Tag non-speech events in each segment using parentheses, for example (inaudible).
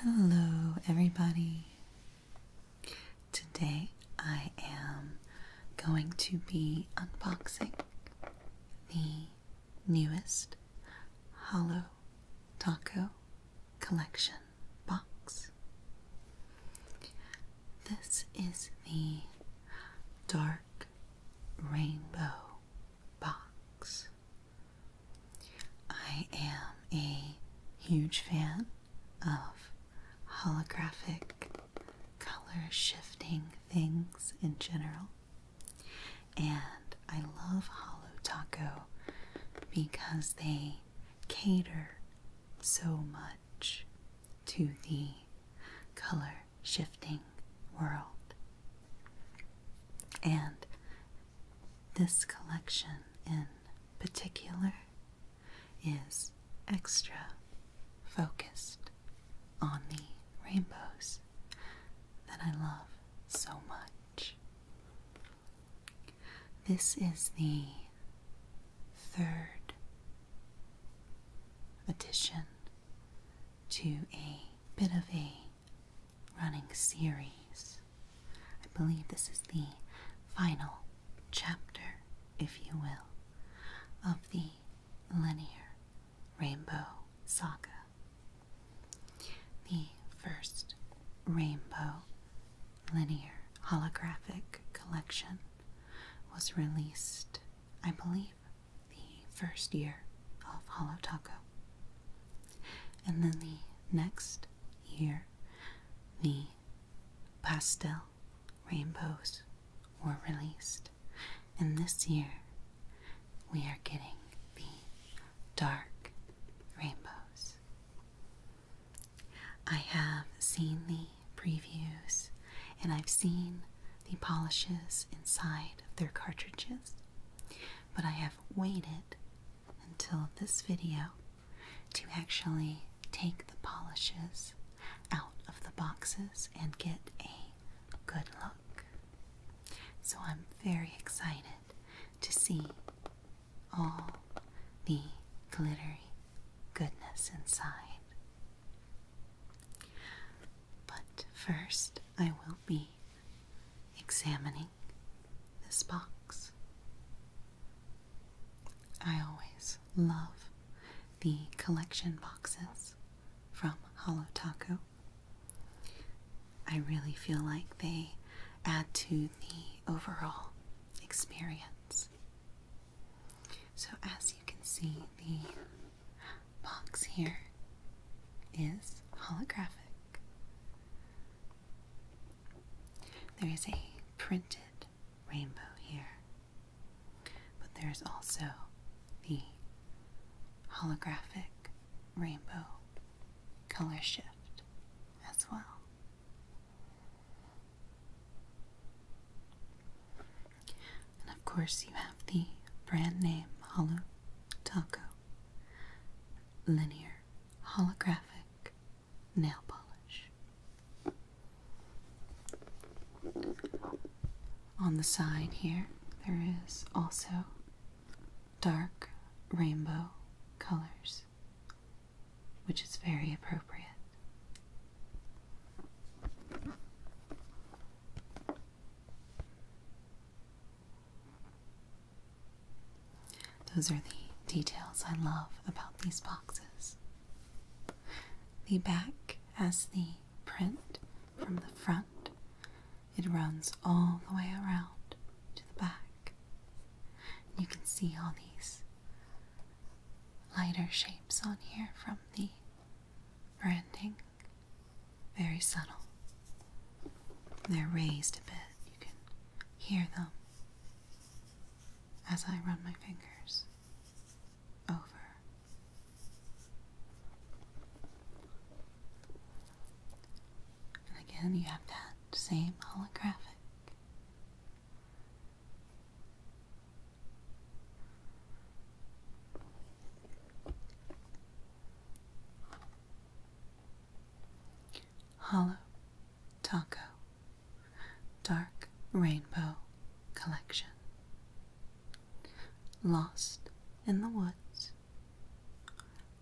Hello, everybody. Today I am going to be unboxing the newest Hollow Taco Collection box. This is the Dark Rainbow box. I am a huge fan of holographic color shifting things in general, and I love Holo Taco because they cater so much to the color shifting world and this collection in particular is extra focused on the rainbows that I love so much. This is the third addition to a bit of a running series. I believe this is the final chapter, if you will, of the linear rainbow saga. The first rainbow linear holographic collection was released, I believe, the first year of Hollow Taco. And then the next year, the pastel rainbows were released. And this year, we are getting the dark rainbows. I have seen the previews and I've seen the polishes inside of their cartridges but I have waited until this video to actually take the polishes out of the boxes and get a good look. So I'm very excited to see all the glittery goodness inside. But first, I will will be examining this box. I always love the collection boxes from Hollow Taco. I really feel like they add to the overall experience. So, as you can see, the box here is holographic. There is a printed rainbow here, but there is also the holographic rainbow color shift as well. And of course, you have the brand name Holo Taco linear holographic nail polish. On the side here, there is also dark rainbow colors, which is very appropriate. Those are the details I love about these boxes. The back as the print from the front. It runs all the way around to the back. And you can see all these lighter shapes on here from the branding very subtle. They're raised a bit. You can hear them as I run my fingers over. And again, you have that same holographic. Hollow Taco Dark Rainbow Collection Lost in the Woods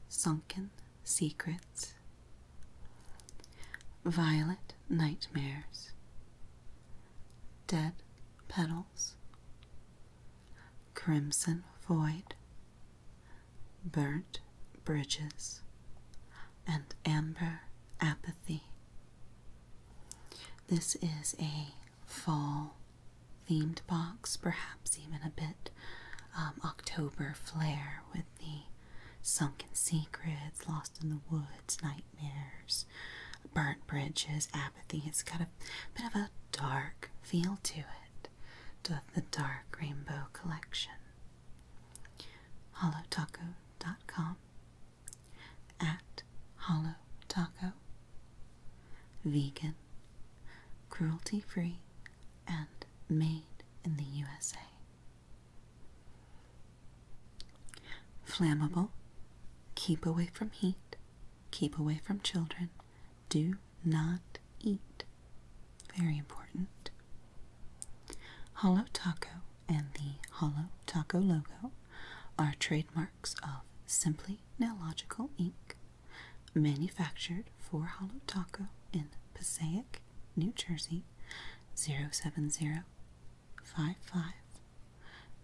Sunken Secrets Violet Nightmares Dead Petals Crimson Void burnt bridges, and amber apathy. This is a fall themed box, perhaps even a bit um, October flare with the sunken secrets, lost in the woods, nightmares, burnt bridges, apathy. It's got a bit of a dark feel to it it doth the Dark Rainbow Collection. Holotaco.com at Taco. Vegan, cruelty free, and made in the USA. Flammable, keep away from heat, Keep away from children. Do not eat. Very important. Hollow Taco and the Hollow Taco logo are trademarks of Simply Nailogical Inc., manufactured for Hollow Taco in Passaic, New Jersey 07055,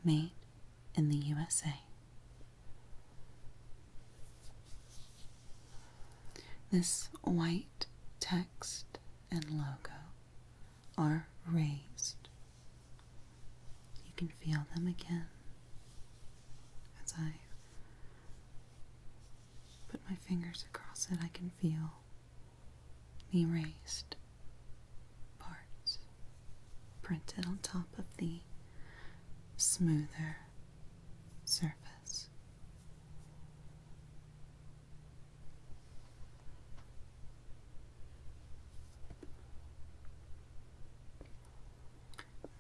made in the USA. This white text and logo are raised. You can feel them again as I put my fingers across it, I can feel the erased parts printed on top of the smoother surface.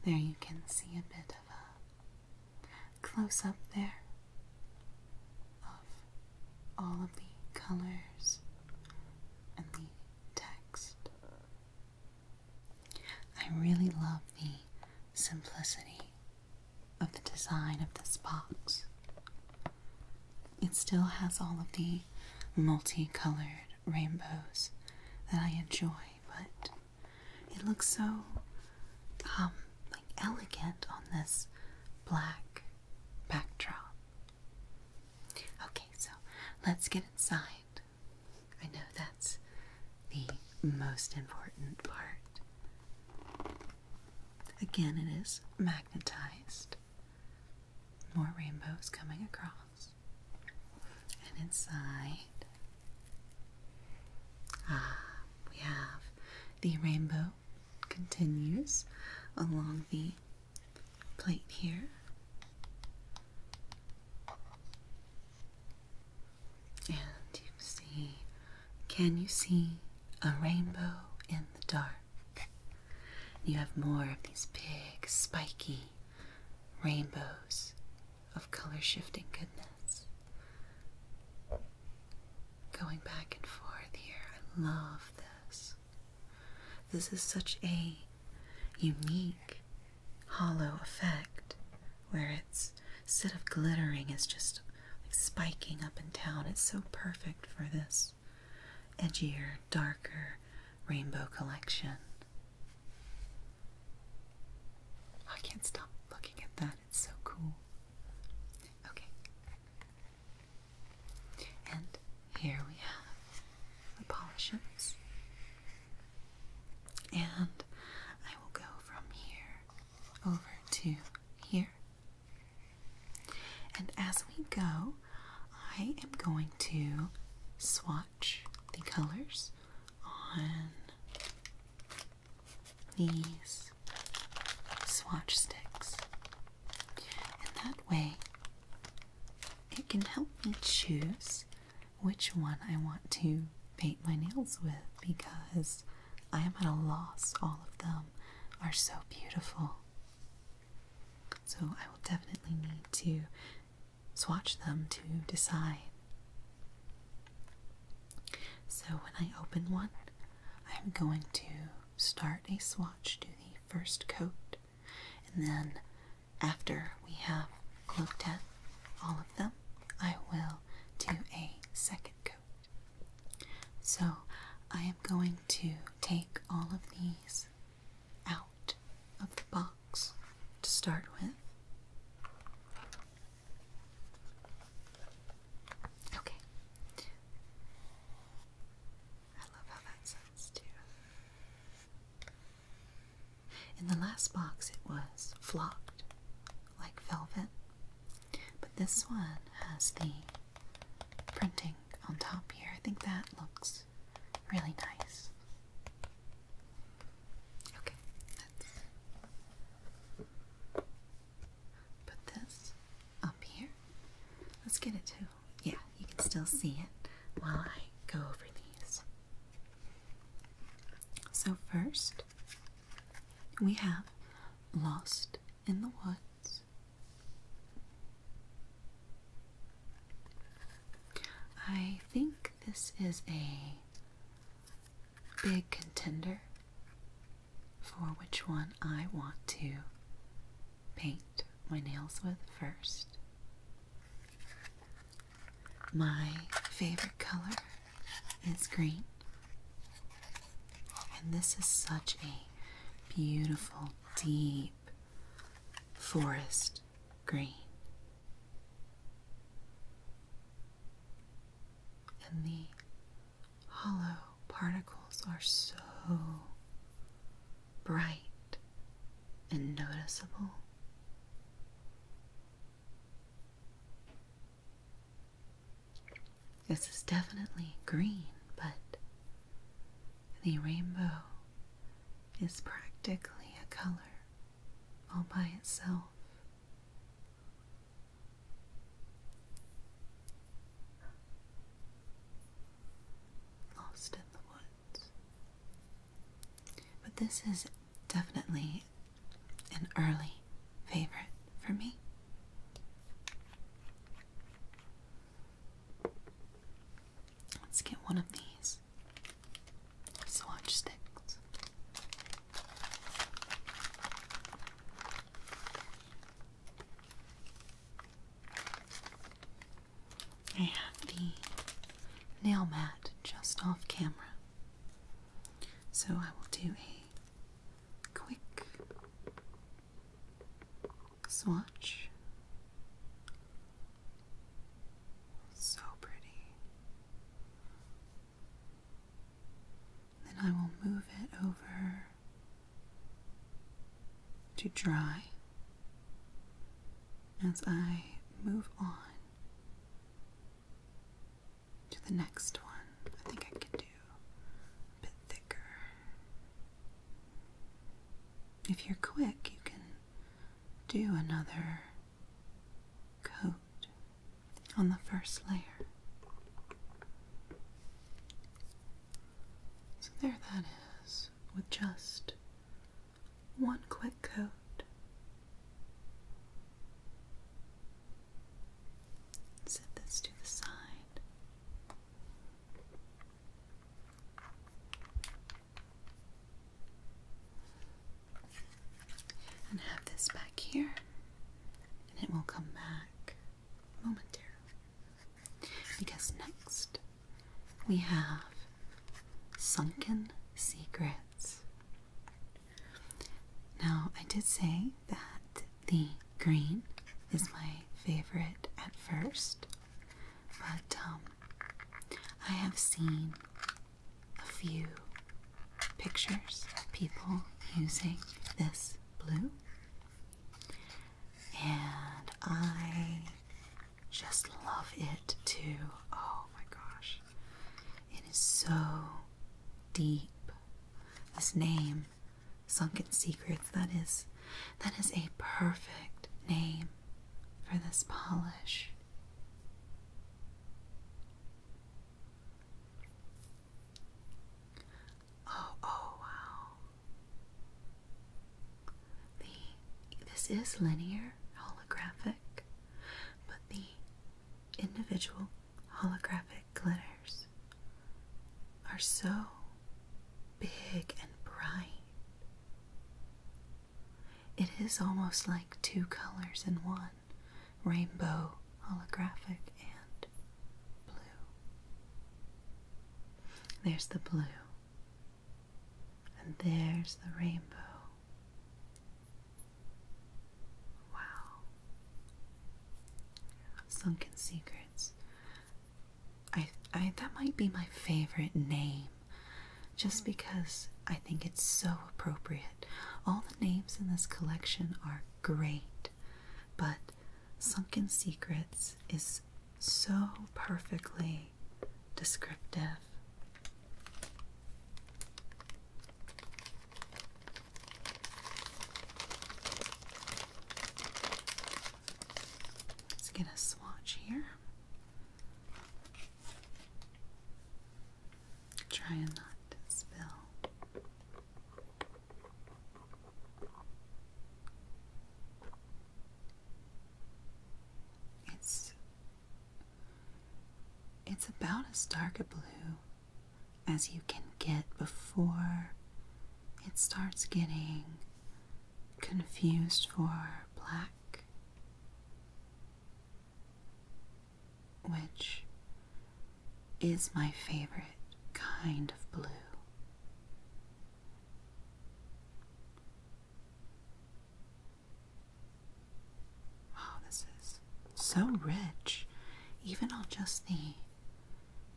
There you can see a bit of a close up there of all of the colors and the text I really love the simplicity of the design of this box. It still has all of the multicolored rainbows that I enjoy, but it looks so um like elegant on this black backdrop. Okay, so let's get inside I know that's the most important part. Again, it is magnetized. More rainbows coming across. And inside, ah, we have the rainbow continues along the plate here. And you see, can you see a rainbow in the dark? You have more of these big, spiky rainbows of color shifting goodness. Going back and forth here, I love this. This is such a unique hollow effect where it's instead of glittering it's just like spiking up and down. It's so perfect for this edgier, darker rainbow collection. I can't stop looking at that. It's so cool. Okay. And here we have the polishes. And I will go from here over to here. And as we go, I am going to swatch the colors on these swatch sticks. And that way, it can help me choose which one I want to paint my nails with because I am at a loss. All of them are so beautiful. So I will definitely need to swatch them to decide. So when I open one, I'm going to start a swatch, do the first coat, and then after we have looked at all of them, I will do a second coat. So I am going to take all of these out of the box to start with. Okay. I love how that sounds too. In the last box, it was flocked like velvet, but this one has the printing on top here. I think that looks really nice. Okay, let's put this up here. Let's get it to, yeah, you can still see it while I go over these. So, first, we have Lost in the Woods. I think this is a big contender for which one I want to paint my nails with first. My favorite color is green. And this is such a beautiful, deep forest green. And the hollow particles are so bright and noticeable. This is definitely green, but the rainbow is practically a color all by itself. Lost in the woods. But this is definitely an early favorite for me. Let's get one of these swatch sticks. I have the nail mat just off camera. So I will do a quick swatch. So pretty. Then I will move it over to dry. As I move on, to the next one. I think I can do a bit thicker. If you're quick, you can do another coat on the first layer. So there that is, with just one quick coat. Set this to the side. And have this back here, and it will come back momentarily. Because next we have Sunken Secrets. Now, I did say that the green is my favorite at first, but um, I have seen a few pictures of people using this blue, and I just love it too. Oh my gosh. It is so deep. This name, Sunken Secrets, that is that is a perfect name for this polish. Oh, oh wow. The this is linear holographic, but the individual holographic glitters are so big and bright. It is almost like two colors in one rainbow, holographic, and blue. There's the blue, and there's the rainbow. Wow. Sunken Secrets. I I that might be my favorite name just hmm. because I think it's so appropriate. All the names in this collection are great, but Sunken Secrets is so perfectly descriptive. Let's get a swatch here. Try and not spill. It's it's about as dark a blue as you can get before it starts getting confused for black, which is my favorite kind of blue. Wow, this is so rich, even on just the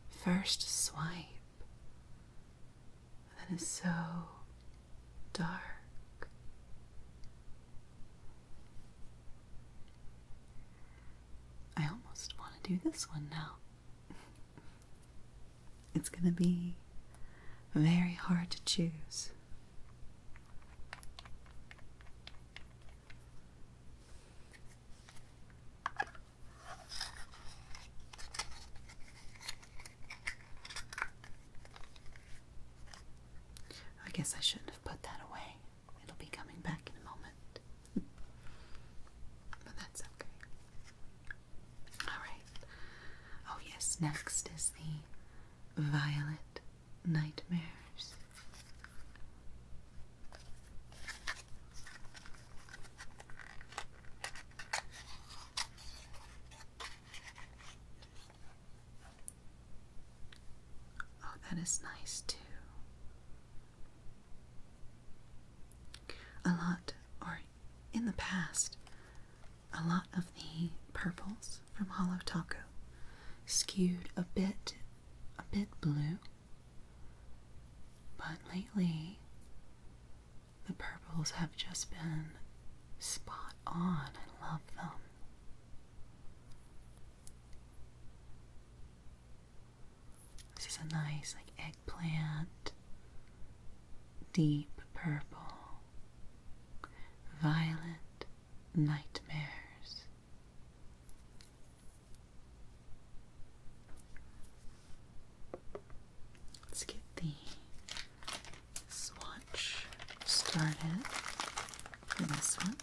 first swipe. That is so dark. I almost want to do this one now. (laughs) it's going to be very hard to choose. I guess I shouldn't have put that away. It'll be coming back in a moment. (laughs) but that's okay. Alright. Oh, yes, next is the violet nightmares. Oh, that is nice too. A lot, or in the past, a lot of the purples from Hollow Taco skewed a bit a bit blue. But lately the purples have just been spot on. I love them. This is a nice like eggplant deep purple violet nightmares. Let's get the swatch started for this one.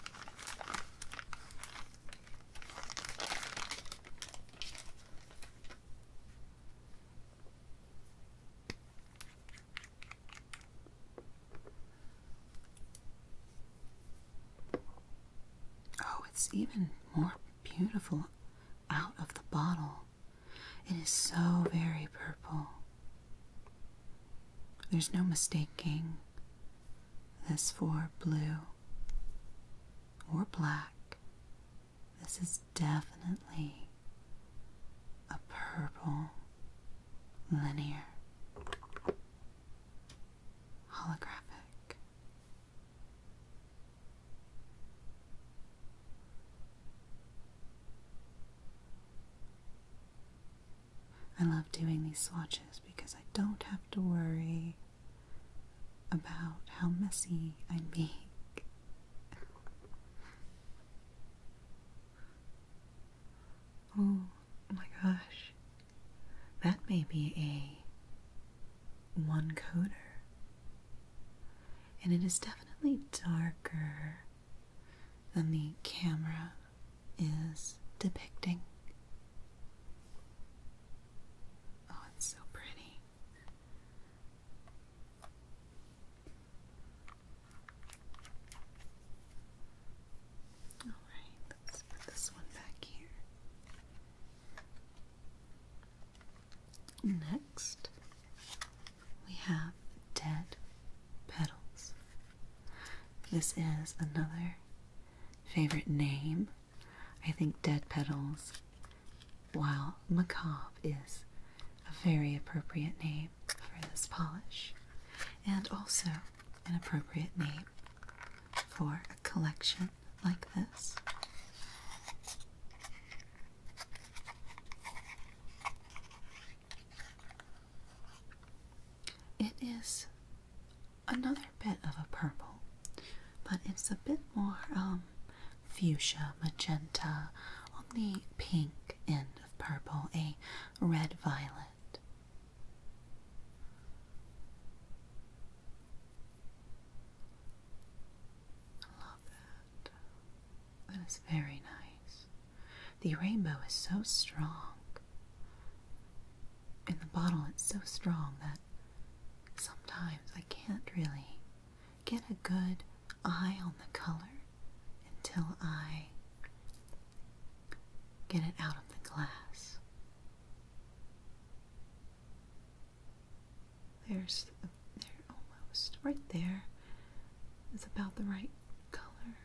Oh, it's even more beautiful out of the bottle. It is so very purple. There's no mistaking this for blue or black. This is definitely a purple linear, holographic. I love doing these swatches because I don't have to worry about how messy I make. Oh my gosh. That may be a one coder. And it is definitely darker than the camera is depicting. Oh, it's so pretty. All right, let's put this one back here. Next, we have Dead Petals. This is another favorite name. I think Dead Petals, while macabre, is a very appropriate name for this polish and also an appropriate name for a collection like this. It is another bit of a purple, but it's a bit more um, fuchsia, magenta, on the pink end of purple, a red violet. I love that. That is very nice. The rainbow is so strong. In the bottle, it's so strong that sometimes I can't really get a good eye on the color until I Get it out of the glass. There's, there almost, right there. It's about the right color,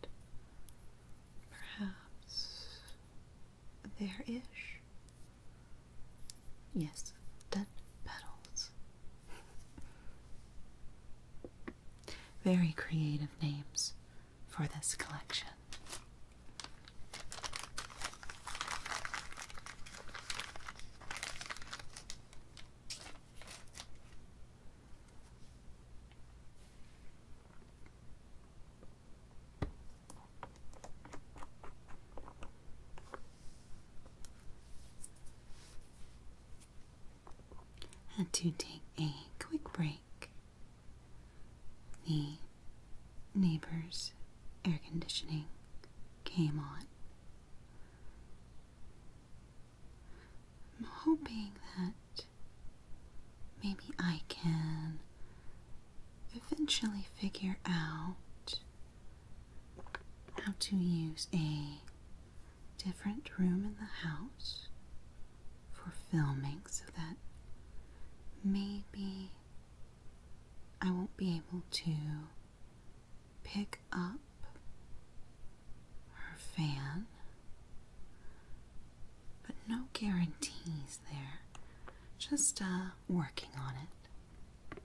and perhaps there ish. Yes, dead petals. (laughs) Very creative names for this collection had to take a quick break. The neighbor's air conditioning came on. I'm hoping that maybe I can eventually figure out how to use a different room in the house for filming so that maybe I won't be able to pick up her fan. But no guarantees there. Just uh, working on it.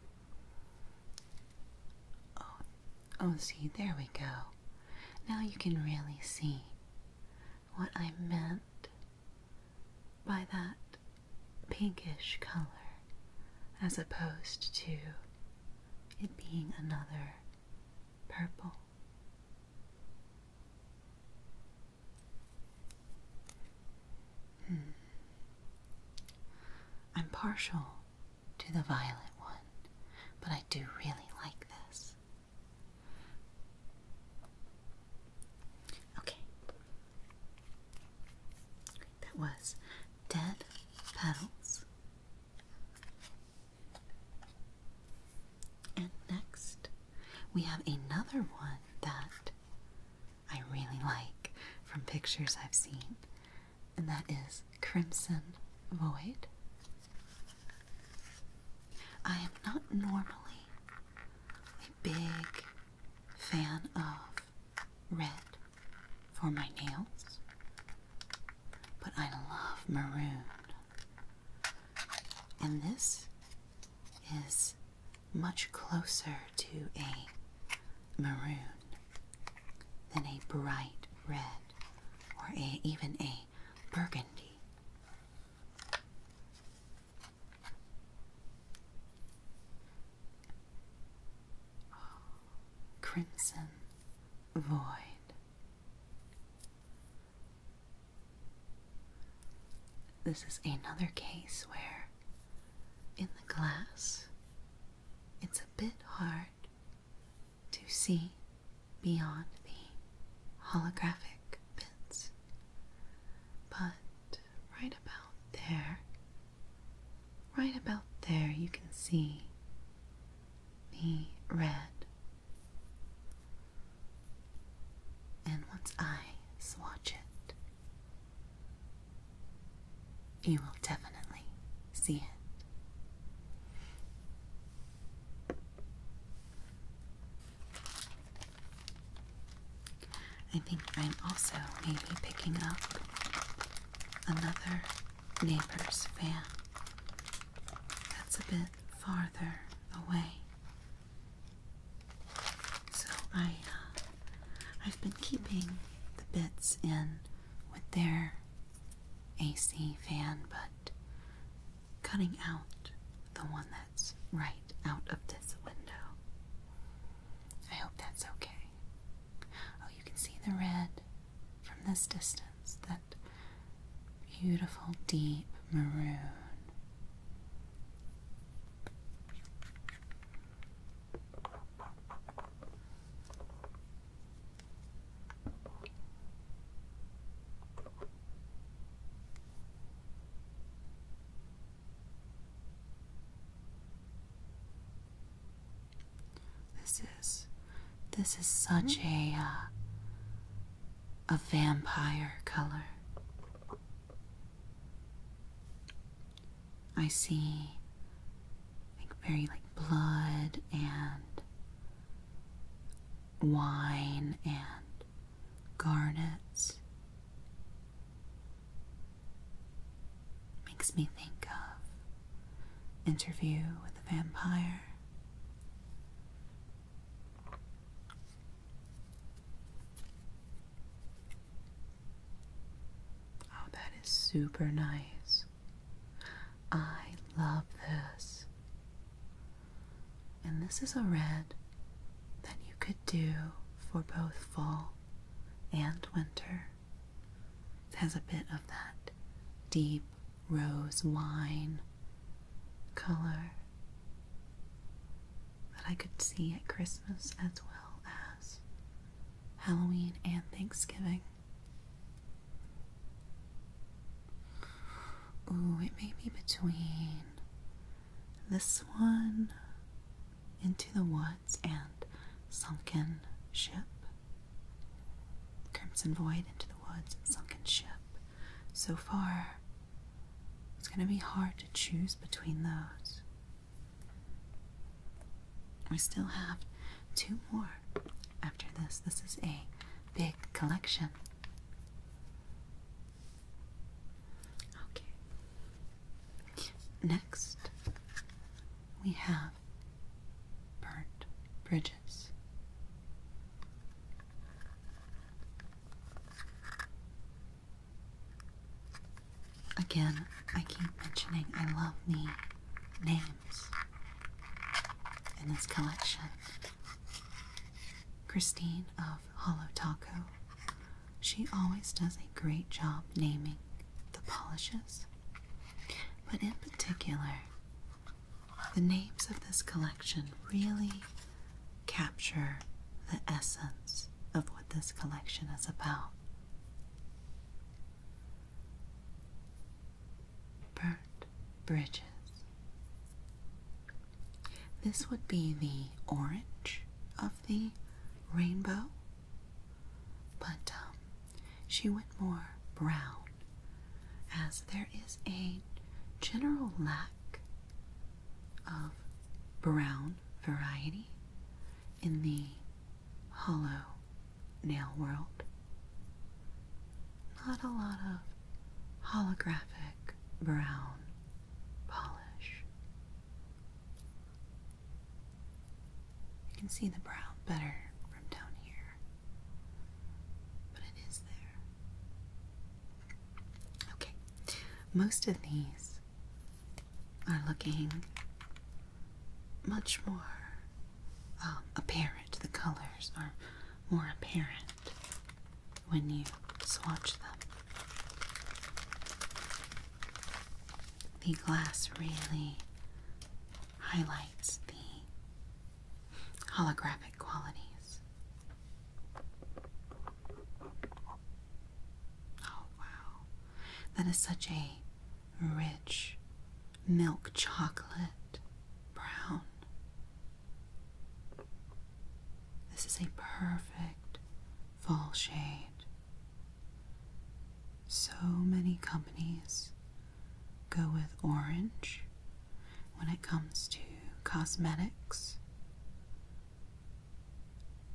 Oh, Oh, see, there we go. Now you can really see what I meant by that pinkish color as opposed to it being another purple. Hmm. I'm partial to the violet one, but I do really like this. Okay. That was Dead Petals. And next, we have another one that I really like from pictures I've seen and that is Crimson Void. I am not normally a big fan of red for my nails, but I love maroon. And this is much closer to a maroon than a bright red or even a burgundy. Crimson Void. This is another case where, in the glass, it's a bit hard to see beyond the holographic bits. But right about there, right about there, you can see the red. And once I swatch it, you will definitely see it. I think I'm also maybe picking up another neighbor's fan that's a bit farther away. So I, uh, I've been keeping the bits in with their AC fan, but cutting out the one that's right out of this window. I hope that's okay. Oh, you can see the red from this distance, that beautiful deep maroon. This is this is such a uh, a vampire color. I see like very like blood and wine and garnets makes me think of interview with a vampire oh that is super nice I love this. And this is a red that you could do for both fall and winter. It has a bit of that deep rose wine color that I could see at Christmas as well as Halloween and Thanksgiving. Ooh, it may be between this one, Into the Woods, and Sunken Ship. Crimson Void, Into the Woods, and Sunken Ship. So far, it's going to be hard to choose between those. We still have two more after this. This is a big collection. Okay. Next, we have burnt bridges. Again, I keep mentioning I love me names in this collection. Christine of Hollow Taco. She always does a great job naming the polishes, but in particular, the names of this collection really capture the essence of what this collection is about burnt bridges. This would be the orange of the rainbow, but um, she went more brown as there is a general lack of brown variety in the hollow nail world. Not a lot of holographic brown polish. You can see the brown better from down here, but it is there. Okay, most of these are looking much more um, apparent. The colors are more apparent when you swatch them. The glass really highlights the holographic qualities. Oh wow. That is such a rich milk chocolate brown. This is a perfect fall shade. So many companies go with orange when it comes to cosmetics.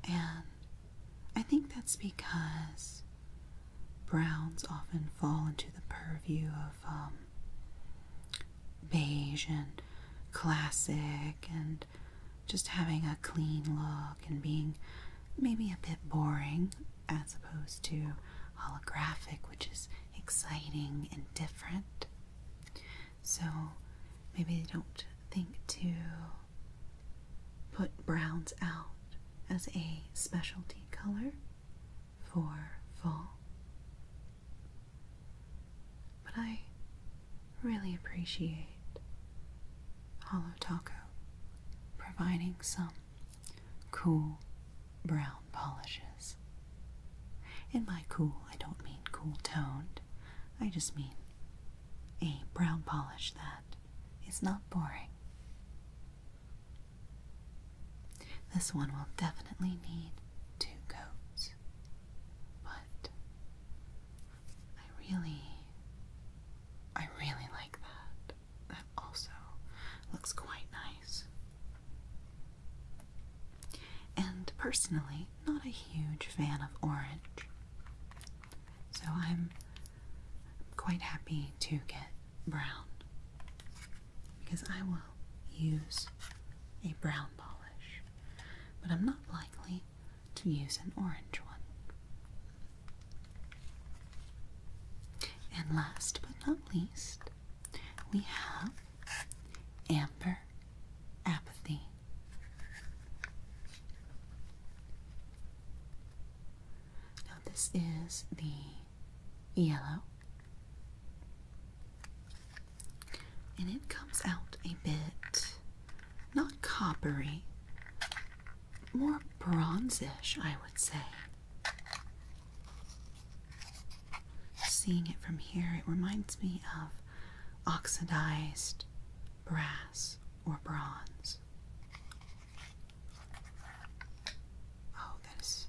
And I think that's because browns often fall into the purview of um, beige and classic and just having a clean look and being maybe a bit boring as opposed to holographic, which is exciting and different. So maybe they don't think to put browns out as a specialty color for fall. But I really appreciate Hollow Taco providing some cool brown polishes. In my cool, I don't mean cool toned, I just mean a brown polish that is not boring. This one will definitely need two coats, but I really, I really like that. That also looks quite nice. And personally, not a huge fan of orange, so I'm quite happy to get brown because I will use a brown polish, but I'm not likely to use an orange one. And last but not least, we have Amber Apathy. Now, this is the yellow. And it comes out a bit not coppery, more bronzish, I would say. Seeing it from here, it reminds me of oxidized brass or bronze. Oh, that is.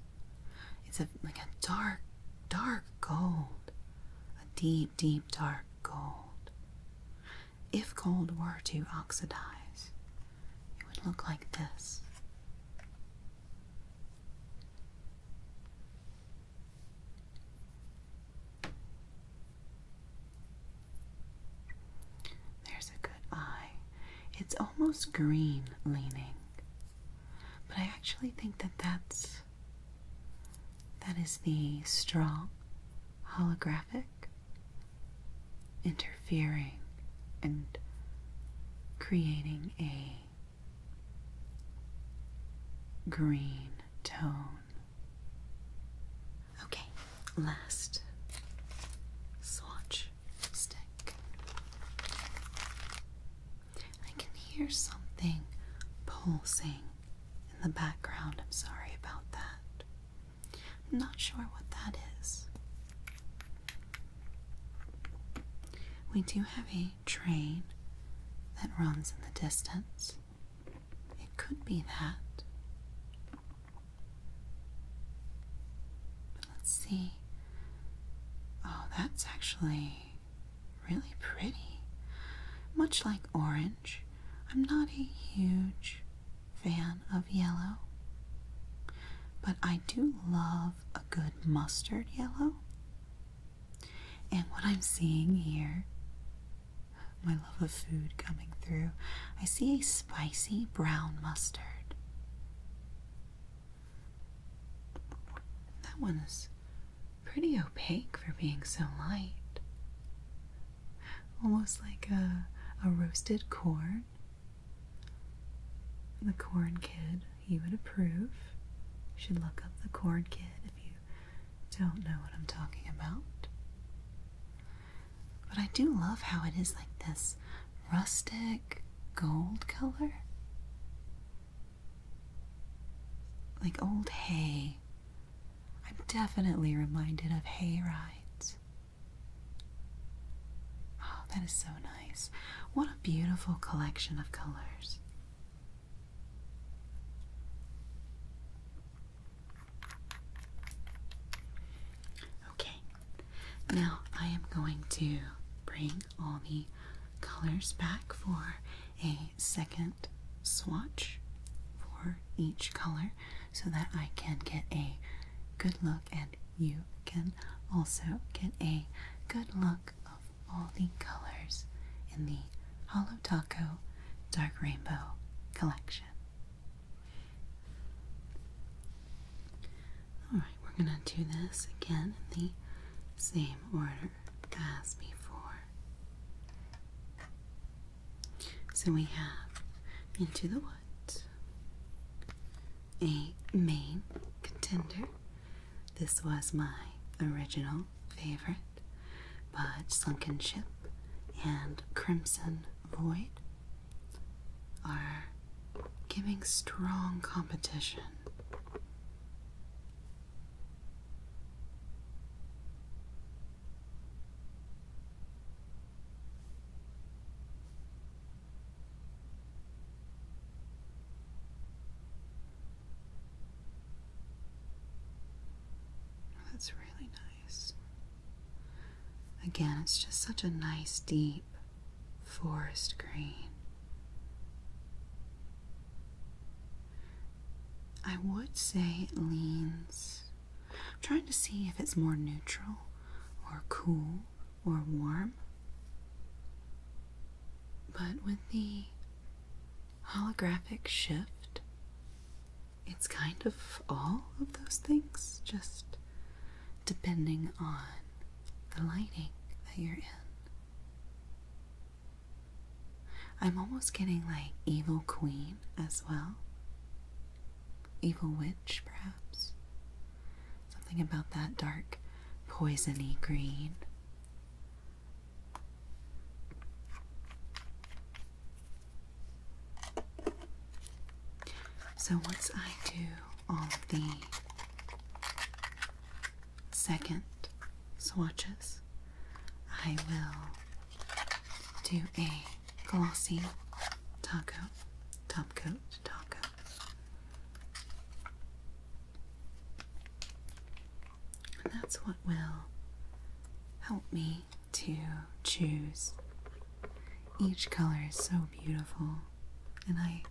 It's a, like a dark, dark gold. A deep, deep, dark gold. If gold were to oxidize, it would look like this. There's a good eye. It's almost green leaning. But I actually think that that's that is the strong holographic interfering and creating a green tone. Okay, last swatch. I can hear something pulsing in the background. I'm sorry about that. I'm not sure what that is. We do have a train that runs in the distance. It could be that. Let's see. Oh, that's actually really pretty. Much like orange, I'm not a huge fan of yellow, but I do love a good mustard yellow. And what I'm seeing here, my love of food coming through, I see a spicy brown mustard. That one is pretty opaque for being so light. Almost like a, roasted corn. The corn kid, he would approve. You should look up the corn kid if you don't know what I'm talking about. But I do love how it is like this rustic gold color? Like old hay. I'm definitely reminded of hay rides. Oh, that is so nice. What a beautiful collection of colors. Okay, now I am going to bring all the colors back for a second swatch for each color so that I can get a good look and you can also get a good look of all the colors in the Hollow Taco Dark Rainbow collection. Alright, we're going to do this again in the same order as before. So we have Into the Woods, a main contender. This was my original favorite, but Sunken Ship and Crimson Void are giving strong competition. That's really nice. Again, it's just such a nice, deep forest green. I would say it leans. I'm trying to see if it's more neutral or cool or warm. But with the holographic shift, it's kind of all of those things, just depending on the lighting that you're in. I'm almost getting like evil queen as well. Evil witch, perhaps. Something about that dark, poisony green. So, once I do all the second swatches, I will do a glossy top coat, top coat, top coat. that's what will help me to choose. Each color is so beautiful, and I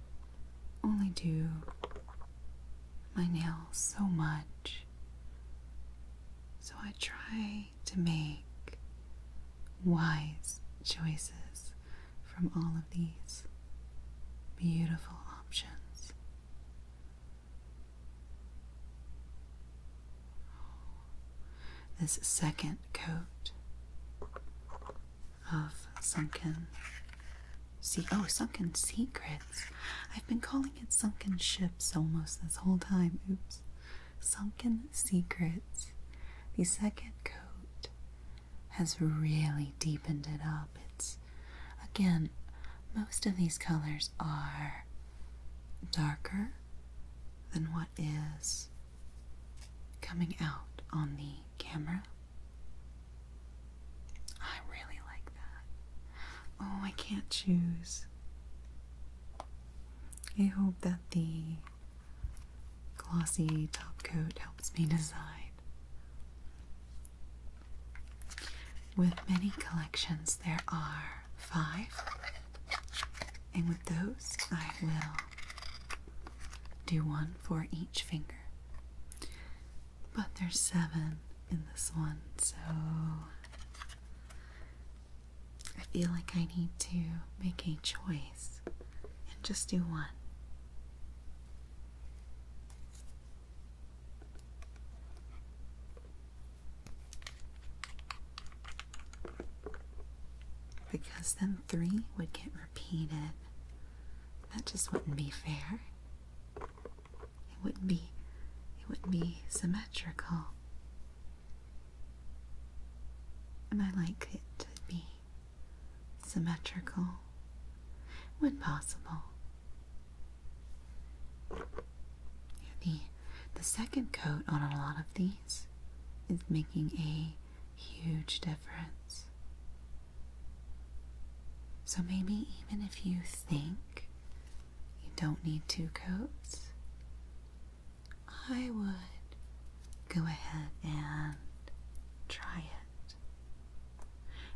only do my nails so much. So I try to make wise choices from all of these beautiful options. This second coat of sunken see Oh, sunken secrets. I've been calling it sunken ships almost this whole time. Oops. Sunken secrets. The second coat has really deepened it up. It's again, most of these colors are darker than what is coming out on the camera. I really like that. Oh, I can't choose. I hope that the glossy top coat helps me decide. With many collections, there are five, and with those, I will do one for each finger. But there's seven in this one, so I feel like I need to make a choice and just do one. Because then three would get repeat it. That just wouldn't be fair. It wouldn't be it wouldn't be symmetrical. And I like it to be symmetrical when possible. The the second coat on a lot of these is making a huge difference. So maybe even if you think you don't need two coats, I would go ahead and try it.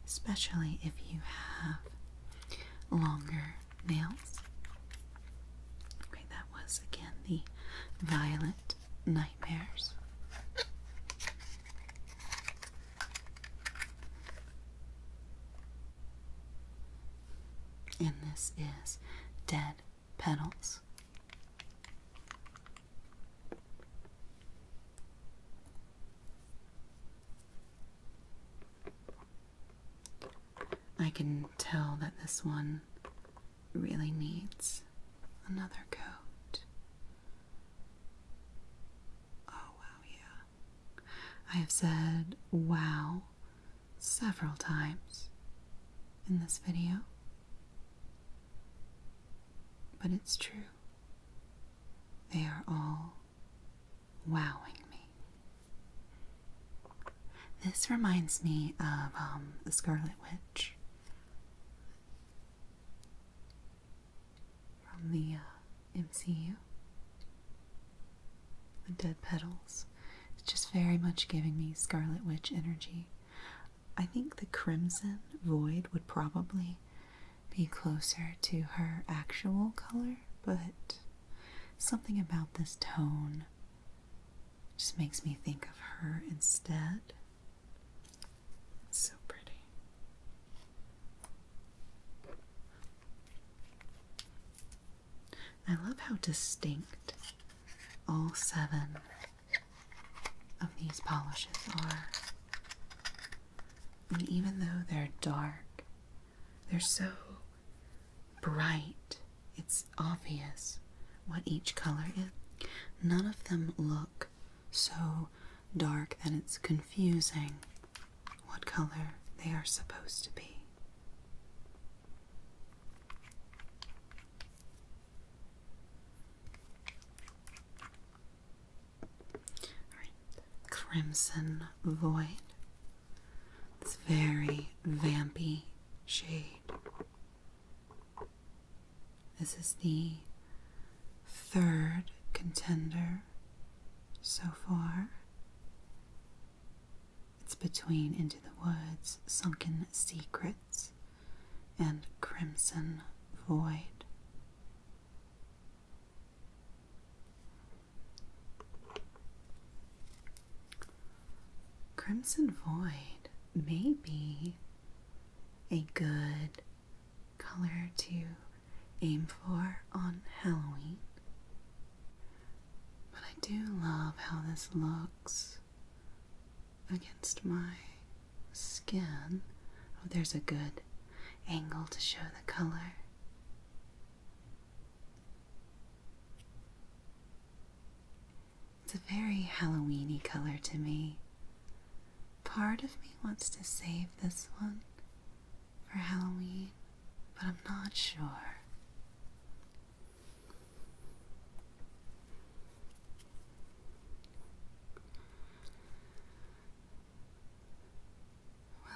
Especially if you have longer nails. Okay, that was again the violet 9 nightmares. And this is Dead Petals. I can tell that this one really needs another coat. Oh, wow, yeah. I have said wow several times in this video, but it's true. They are all wowing me. This reminds me of um, The Scarlet Witch from the uh, MCU. The dead petals. It's just very much giving me Scarlet Witch energy. I think the crimson void would probably be closer to her actual color, but something about this tone just makes me think of her instead so pretty. I love how distinct all seven of these polishes are. And even though they're dark, they're so bright, it's obvious what each color is. None of them look so dark that it's confusing what color they are supposed to be. Crimson Void. It's very vampy shade. This is the third contender so far. It's between Into the Woods, Sunken Secrets, and Crimson Void. Crimson Void may be a good color to aim for on Halloween. But I do love how this looks against my skin. Oh, there's a good angle to show the color. It's a very Halloweeny color to me. Part of me wants to save this one for Halloween, but I'm not sure.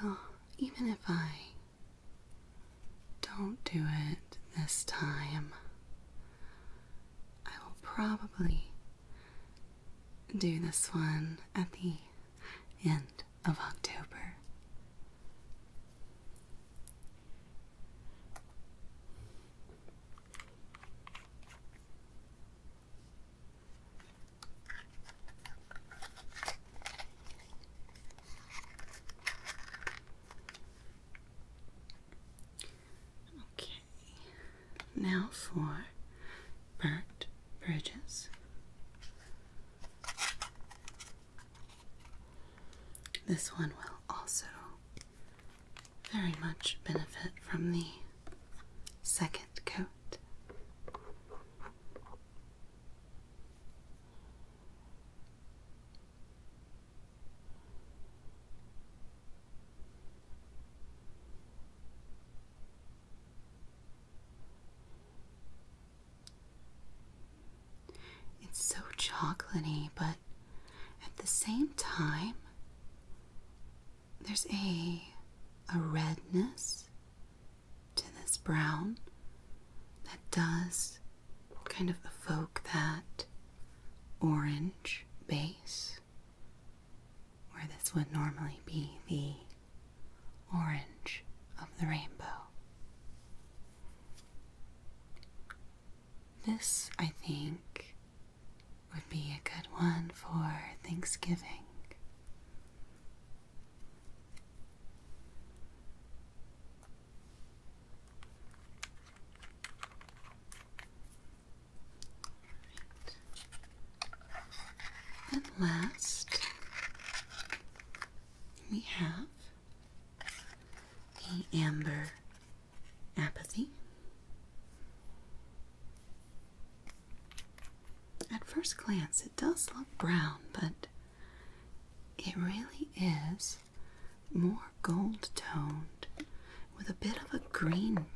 Well, even if I don't do it this time, I will probably do this one at the end of October. Okay, now for burnt bridges. This one will also very much benefit from the second coat. It's so chocolatey, but at the same time, there's a a redness to this brown that does kind of evoke that orange base where this would normally be the orange of the rainbow. This, I think, would be a good one for Thanksgiving. And last, we have the amber apathy. At first glance, it does look brown, but it really is more gold toned with a bit of a green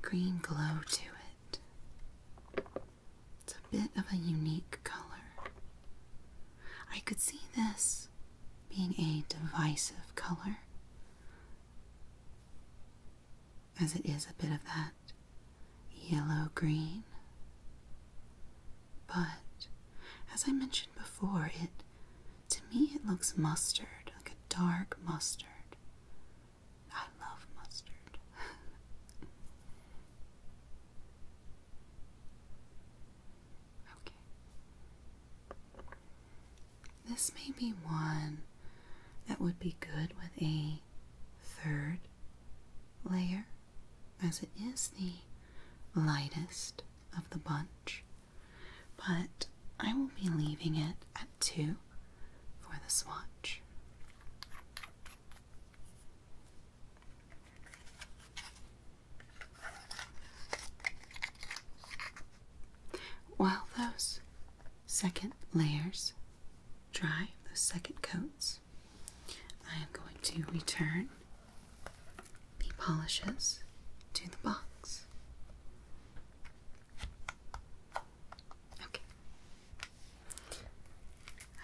green glow to it. It's a bit of a unique color. I could see this being a divisive color, as it is a bit of that yellow green. But as I mentioned before, it to me, it looks mustard, like a dark mustard. I love mustard. (laughs) okay. This may be one that would be good with a third layer, as it is the lightest of the bunch but I will be leaving it at 2 for the swatch. While those second layers dry, those second coats, I am going to return the polishes to the box. Okay.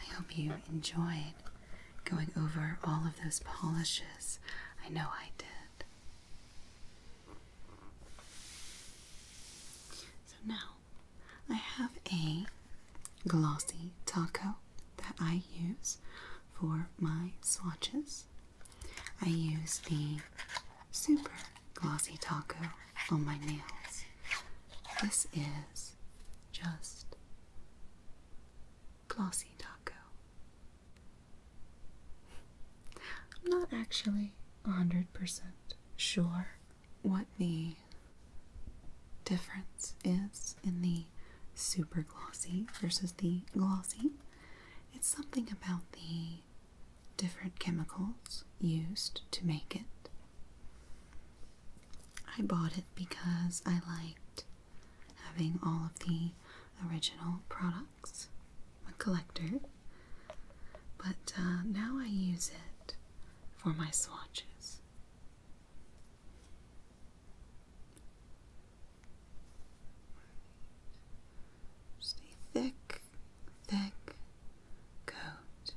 I hope you enjoyed going over all of those polishes. I know I did. So now I have a glossy taco that I use for my swatches. I use the Super Glossy Taco on my nails. This is just Glossy Taco. I'm not actually 100% sure what the difference is in the super glossy versus the glossy. It's something about the different chemicals used to make it. I bought it because I liked having all of the original products. a collector, but uh, now I use it for my swatches. Stay thick thick coat.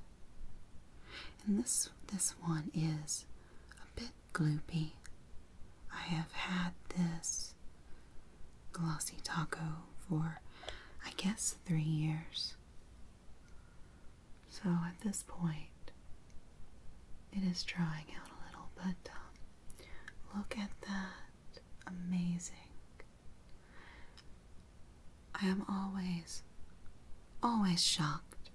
And this this one is a bit gloopy. I have had this glossy taco for I guess three years. So at this point, it is drying out a little, but um, look at that amazing. I am always, always shocked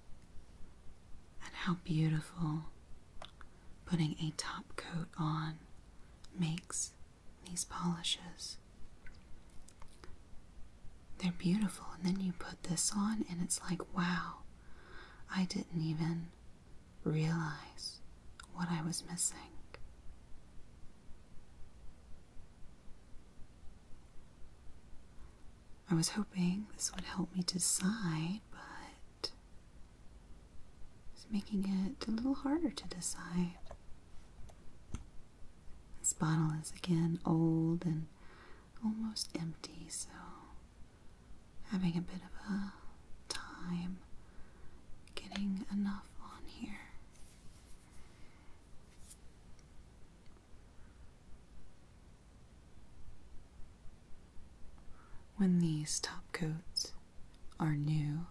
at how beautiful putting a top coat on makes these polishes. They're beautiful, and then you put this on, and it's like, wow, I didn't even realize what I was missing. I was hoping this would help me decide, but it's making it a little harder to decide. This bottle is again old and almost empty, so having a bit of a time getting enough on here. When these top coats are new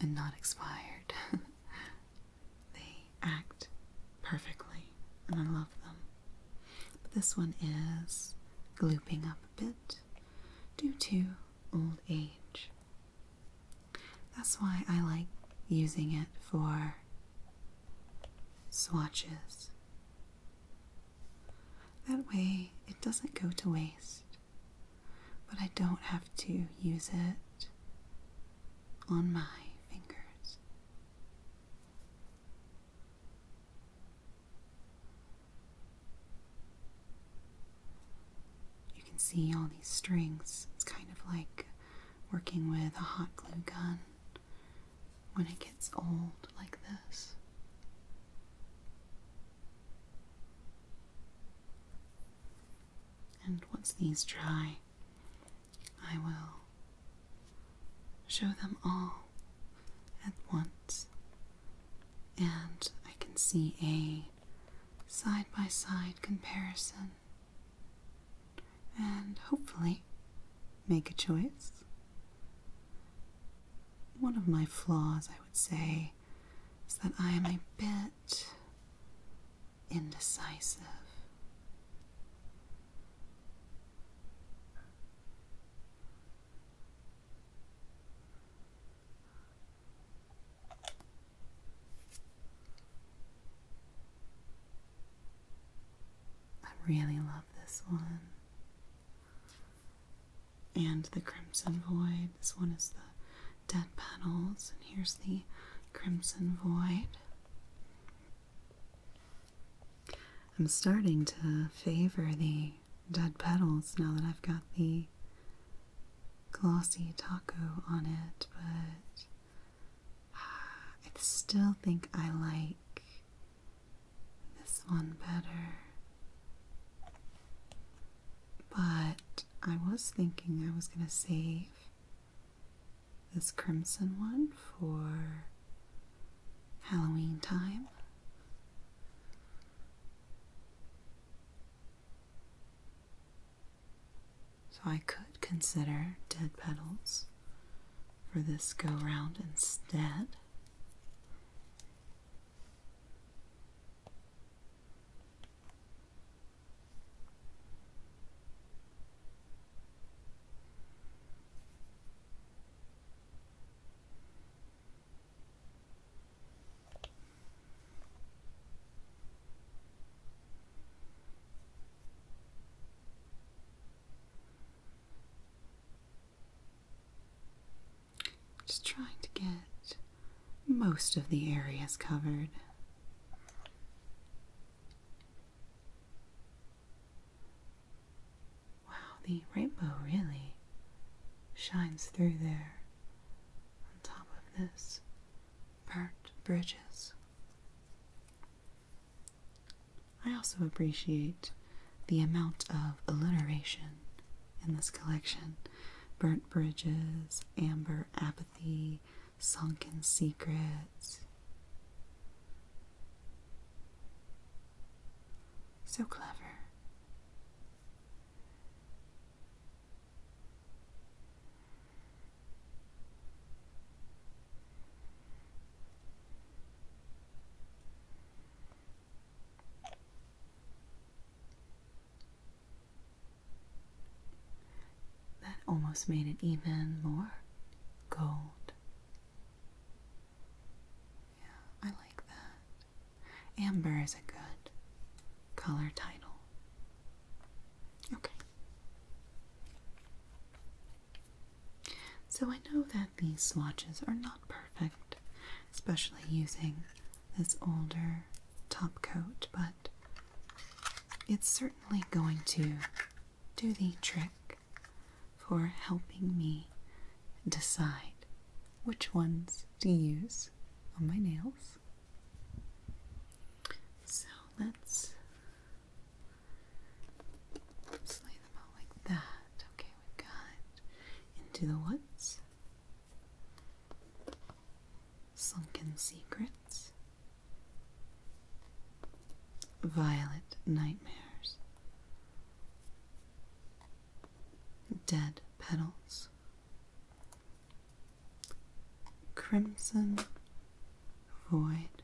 and not expired, (laughs) they act perfectly, and I love them. But this one is glooping up a bit due to old age. That's why I like using it for swatches. That way it doesn't go to waste, but I don't have to use it on my fingers. You can see all these strings. It's kind of like working with a hot glue gun when it gets old like this. And once these dry, I will show them all at once and I can see a side by side comparison and hopefully make a choice. One of my flaws, I would say, is that I am a bit indecisive. I really love this one. And the Crimson Void. This one is the Dead Petals, and here's the Crimson Void. I'm starting to favor the dead petals now that I've got the glossy taco on it, but (sighs) I still think I like this one better. But I was thinking I was going to save this crimson one for Halloween time. So I could consider dead petals for this go round instead. Just trying to get most of the areas covered. Wow, the rainbow really shines through there. On top of this, burnt bridges. I also appreciate the amount of alliteration in this collection. Burnt bridges, amber apathy, sunken secrets. So clever. That almost made it even more gold. Yeah, I like that. Amber is a good color title. Okay. So I know that these swatches are not perfect, especially using this older top coat, but it's certainly going to do the trick for helping me decide which ones do you use on my nails. So let's lay them out like that. Okay, we've got Into the Woods, Sunken Secrets, Violet Nightmares, Dead Petals, Crimson Void,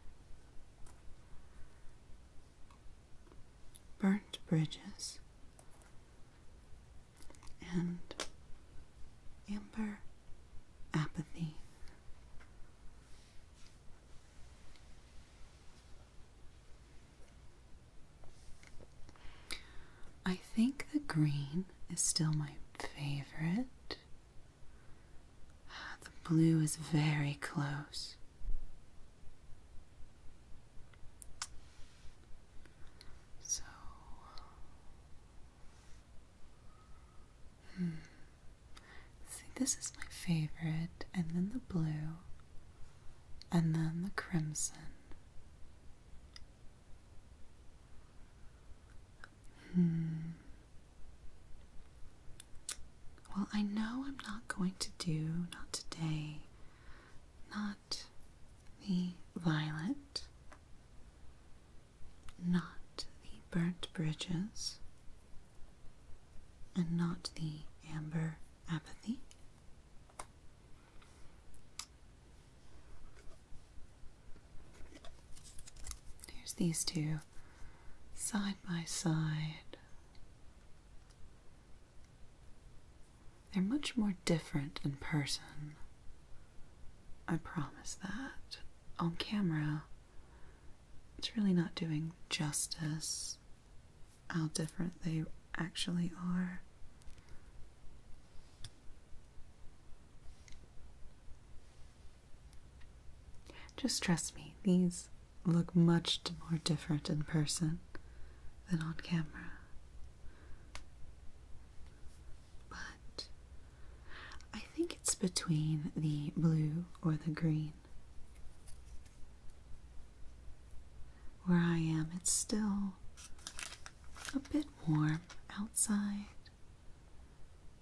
Burnt Bridges, and Amber Apathy. I think the green is still my favorite. Ah, the blue is very close. So, hmm. see, this is my favorite, and then the blue, and then the crimson, Hmm. Well, I know I'm not going to do, not today, not the violet, not the burnt bridges, and not the amber apathy. Here's these two side by side. They're much more different in person. I promise that. On camera, it's really not doing justice how different they actually are. Just trust me, these look much more different in person than on camera. But I think it's between the blue or the green. Where I am, it's still a bit warm outside,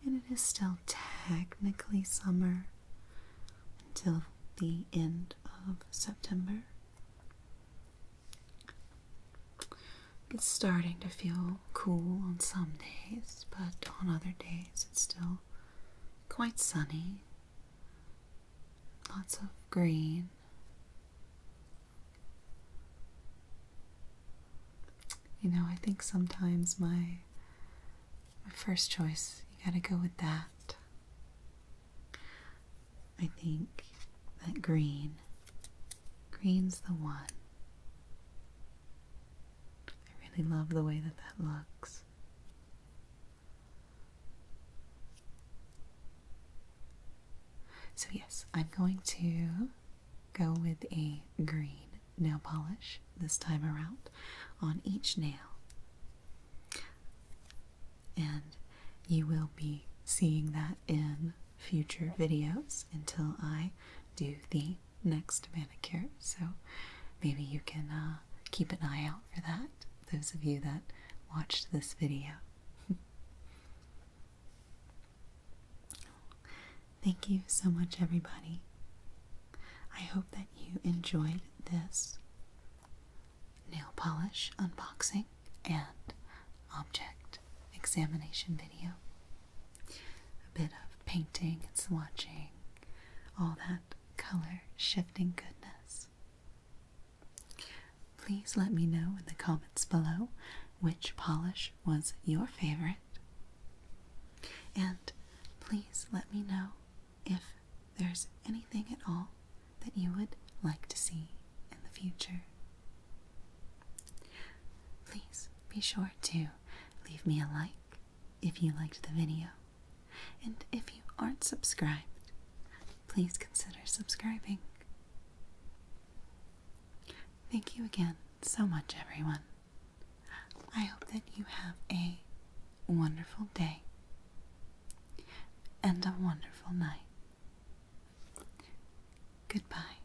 and it is still technically summer until the end of September. It's starting to feel cool on some days, but on other days it's still quite sunny. Lots of green. You know, I think sometimes my my first choice, you gotta go with that. I think that green, green's the one. I really love the way that that looks. So, yes, I'm going to go with a green nail polish this time around on each nail. And you will be seeing that in future videos until I do the next manicure. So, maybe you can uh, keep an eye out for that, those of you that watched this video. (laughs) Thank you so much, everybody. I hope that you enjoyed this nail polish unboxing and object examination video. A bit of painting and swatching, all that color shifting goodness. Please let me know in the comments below which polish was your favorite. And please let me know if there's anything at all that you would like to see in the future. Please be sure to leave me a like if you liked the video. And if you aren't subscribed, please consider subscribing. Thank you again so much, everyone. I hope that you have a wonderful day and a wonderful night. Goodbye.